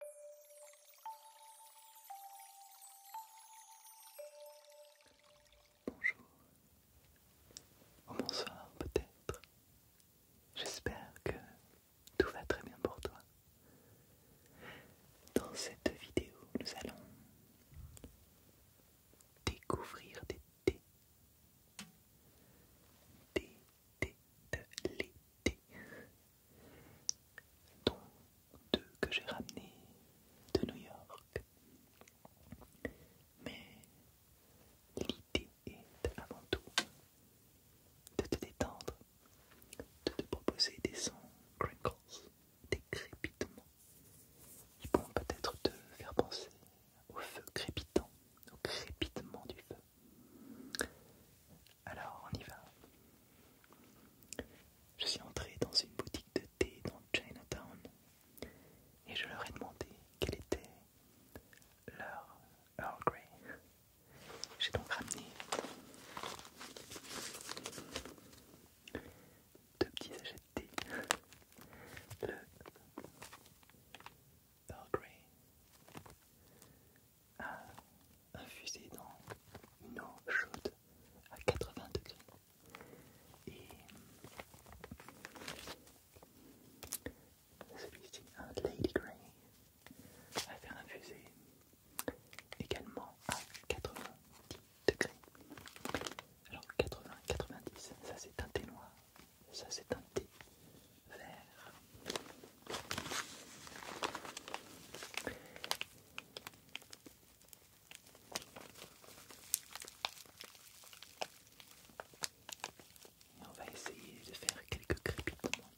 Bonjour, ou bonsoir peut-être. J'espère que tout va très bien pour toi. Dans cette vidéo, nous allons découvrir des thés de l'été. Dont deux que j'ai ramené de New York. Mais l'idée est avant tout de te détendre, de te proposer des sons crinkles, des crépitements. qui vont peut-être te faire penser au feu crépitant, au crépitement du feu. Alors on y va. Je suis entré dans une boutique de thé dans Chinatown et je leur ai demandé quel était leur Earl Grey. J'ai donc ramené deux petits sachets de thé. Earl Grey à infuser dans une eau chaude à 80 degrés. Et celui-ci, un Lady Grey, à faire infuser également à 90 degrés. Alors 80, 90, ça c'est un thé noir, ça c'est un thé on va essayer de faire quelques crépitements.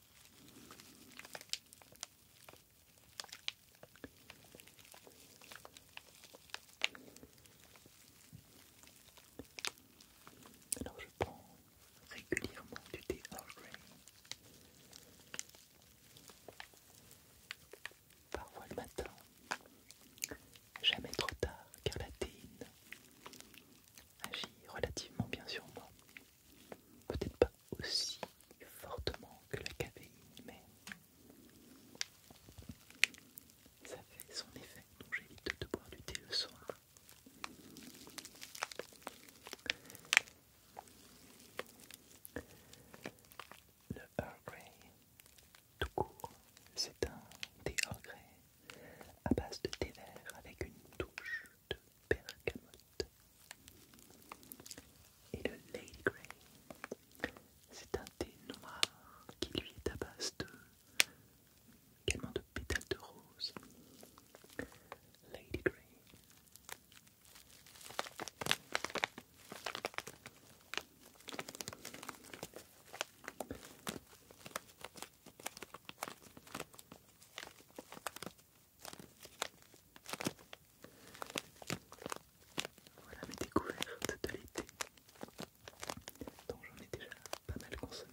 Alors je régulièrement du thé Earl Grey. Parfois le matin, jamais trop tard car la théine agit relativement bien sur moi. Peut-être pas aussi fortement que la caféine, mais ça fait son effet, donc j'évite de boire du thé le soir. Le Earl Grey, tout court, c'est un thé Earl Grey à base de thé vert avec une touche de bergamote. Et le Lady Grey, c'est un thé noir qui lui est à base de Quelment de pétales de rose. Lady Grey. Voilà mes découvertes de l'été, dont j'en ai déjà pas mal consommé.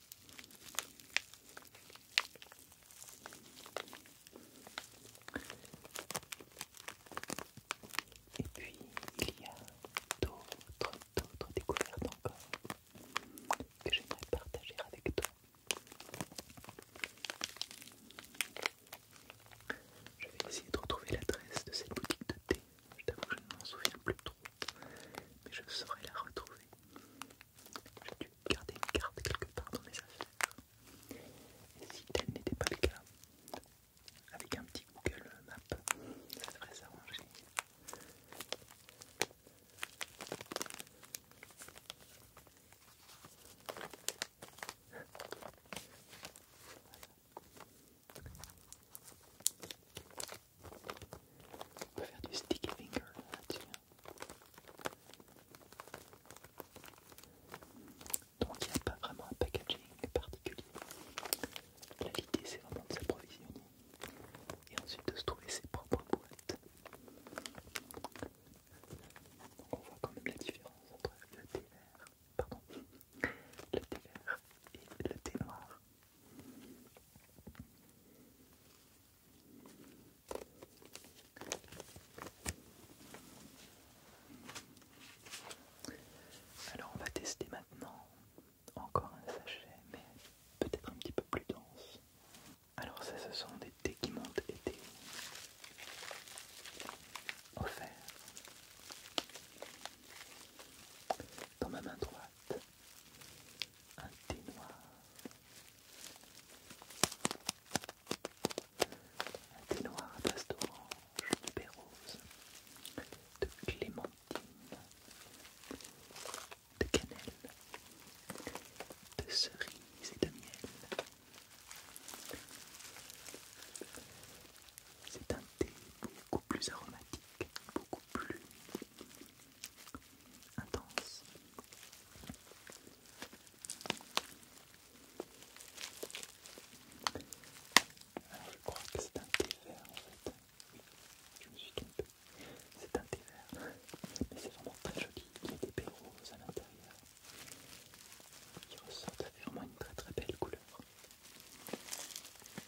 Et puis il y a d'autres, d'autres découvertes encore que j'aimerais partager avec toi. Je vais essayer de retrouver l'adresse de cette boutique de thé. Je t'avoue que je ne m'en souviens plus trop mais je saurais la retrouver. J'ai dû garder une carte quelque part dans mes affaires. Et si tel n'était pas le cas, avec un petit Google Maps, ça devrait s'arranger. On peut faire du sticky finger là-dessus. Donc il n'y a pas vraiment un packaging particulier. Là l'idée c'est vraiment de s'approvisionner et ensuite de se trouver ses propres boîtes. on voit quand même la différence entre le thé vert, pardon, le thé vert et le thé noir. Alors on va tester maintenant encore un sachet, mais peut-être un petit peu plus dense. Alors ça, ce sont des thés qui m'ont été offerts dans ma main droite un thé noir, un thé noir à base d'orange, de de clémentine, de cannelle, de cerise et de miel. C'est un thé beaucoup plus aromatique, beaucoup plus intense. Alors je crois que c'est un thé vert en fait. Oui, je me suis trompé. C'est un thé vert. Mais c'est vraiment très joli. Il y a des baies à l'intérieur qui ressortent. vraiment une très très belle couleur.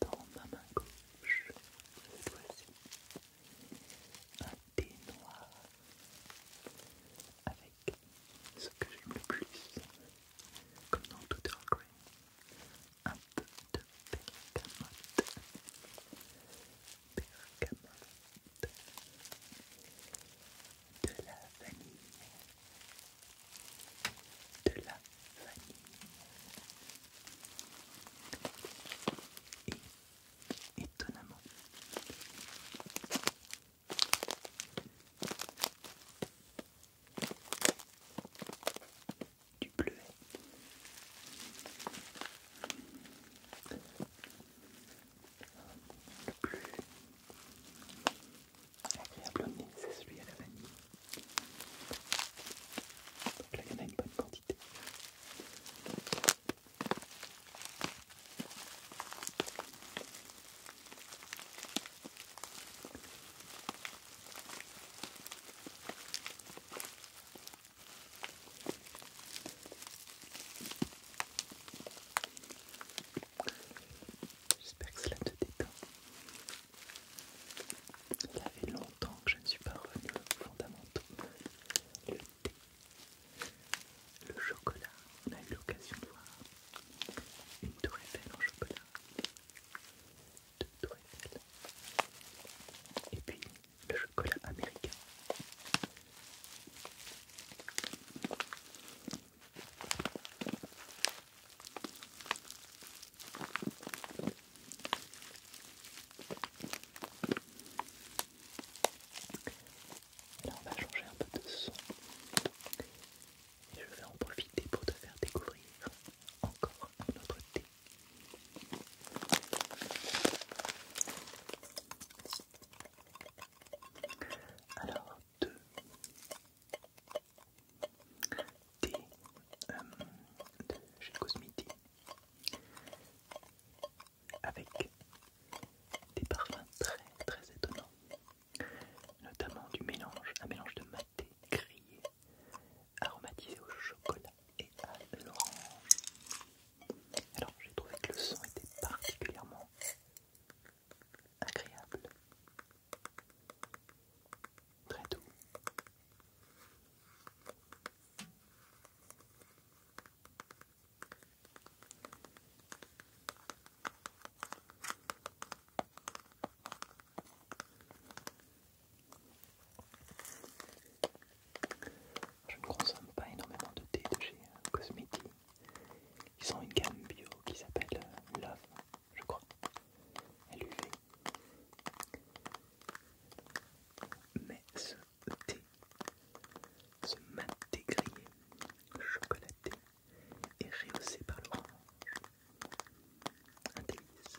dans ma main gauche, voici un thé noir avec ce que j'aime le plus, comme dans tout Earl un peu de bergamote, bergamote, de la vanille de la vanille et étonnamment du bleuet. plus agréable c'est celui à la vanille. Donc là, il y en a une bonne quantité. J'espère que cela te détend. Ça fait longtemps que je ne suis pas revenue aux fondamentaux. Le thé, le chocolat, on a eu l'occasion de voir une tour Eiffel en chocolat, deux tour Eiffel, et puis le chocolat américain. Là, on va changer un peu de son et je vais en profiter pour te faire découvrir encore notre thé. Alors, deux thé de chez avec des parfums très très étonnants, notamment du mélange, un mélange de maté grillé, aromatisé au chocolat et à l'orange. Alors j'ai trouvé que le son était particulièrement agréable, très doux. Je ne consomme pas énormément de thé de chez euh, ils ont une gamme bio qui s'appelle euh, Love, je crois. LUV. Mais ce thé, ce maté grillé, chocolaté est rehaussé par l'orange. Un délice.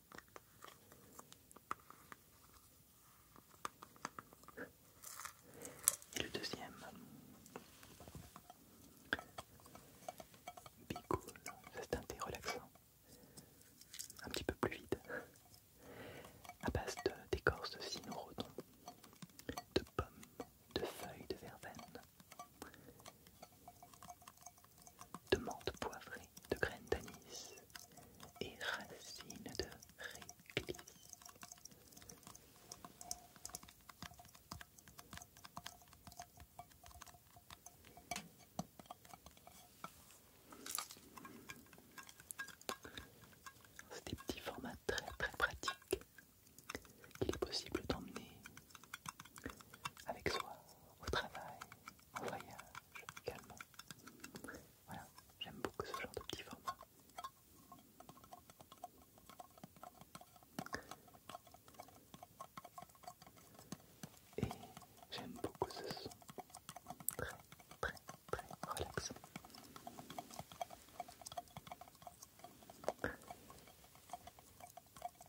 Et le deuxième, Cool, c'est un thé relaxant, un petit peu plus vite, à base d'écorce de, cyprès, de pommes, de feuilles de verveine, de menthe poivrée, de graines d'anis et racines de réglisse. C'est des petits formats très très pratiques qu'il est possible d'emmener avec soi au travail, au voyage, également. Voilà, j'aime beaucoup ce genre de petit Et j'aime beaucoup ce son, très très très relaxant.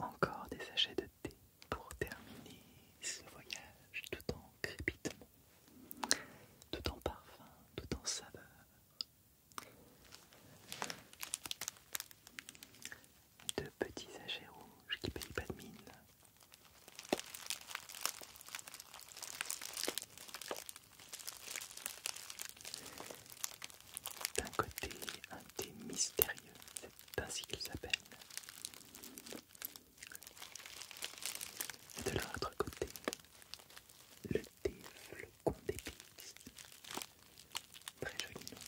Encore des sachets de thé pour terminer ce voyage tout en crépitement, tout en parfum, tout en saveur. Deux petits sachets rouges qui payent pas de mine d'un côté, un thé mystérieux, c'est ainsi qu'ils s'appelle. Et de l'autre côté, le thé flocon d'épices. Très joli nom.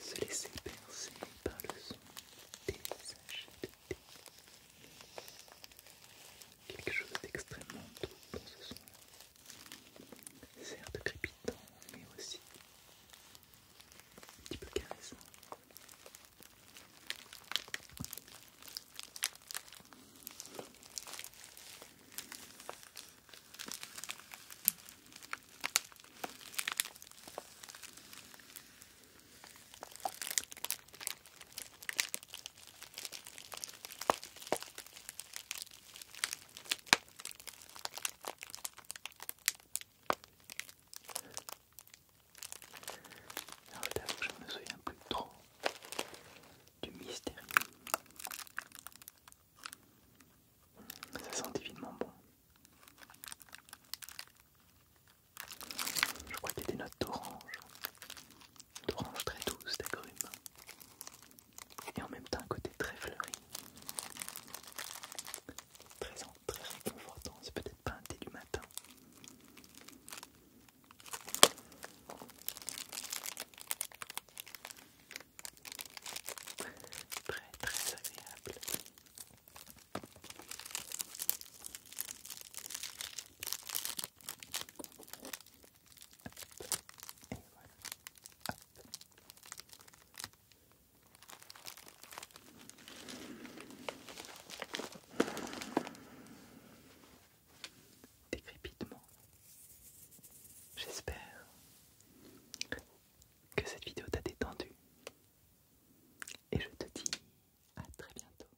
Se laisser percer par le son des sachets de Quelque chose d'extrêmement doux dans ce son. C'est un certes crépitant, mais aussi un petit peu caressant. Alors ah, là, je me souviens plus trop du mystère. Ça sent divinement bon. Je crois qu'il y a des notes d'orange, d'orange très douce, d'agrumes, et en même temps un côté très fleuri, très, très réconfortant. C'est peut-être pas un thé du matin. Très très agréable. Décrépitement, J'espère que cette vidéo t'a détendu et je te dis à très bientôt.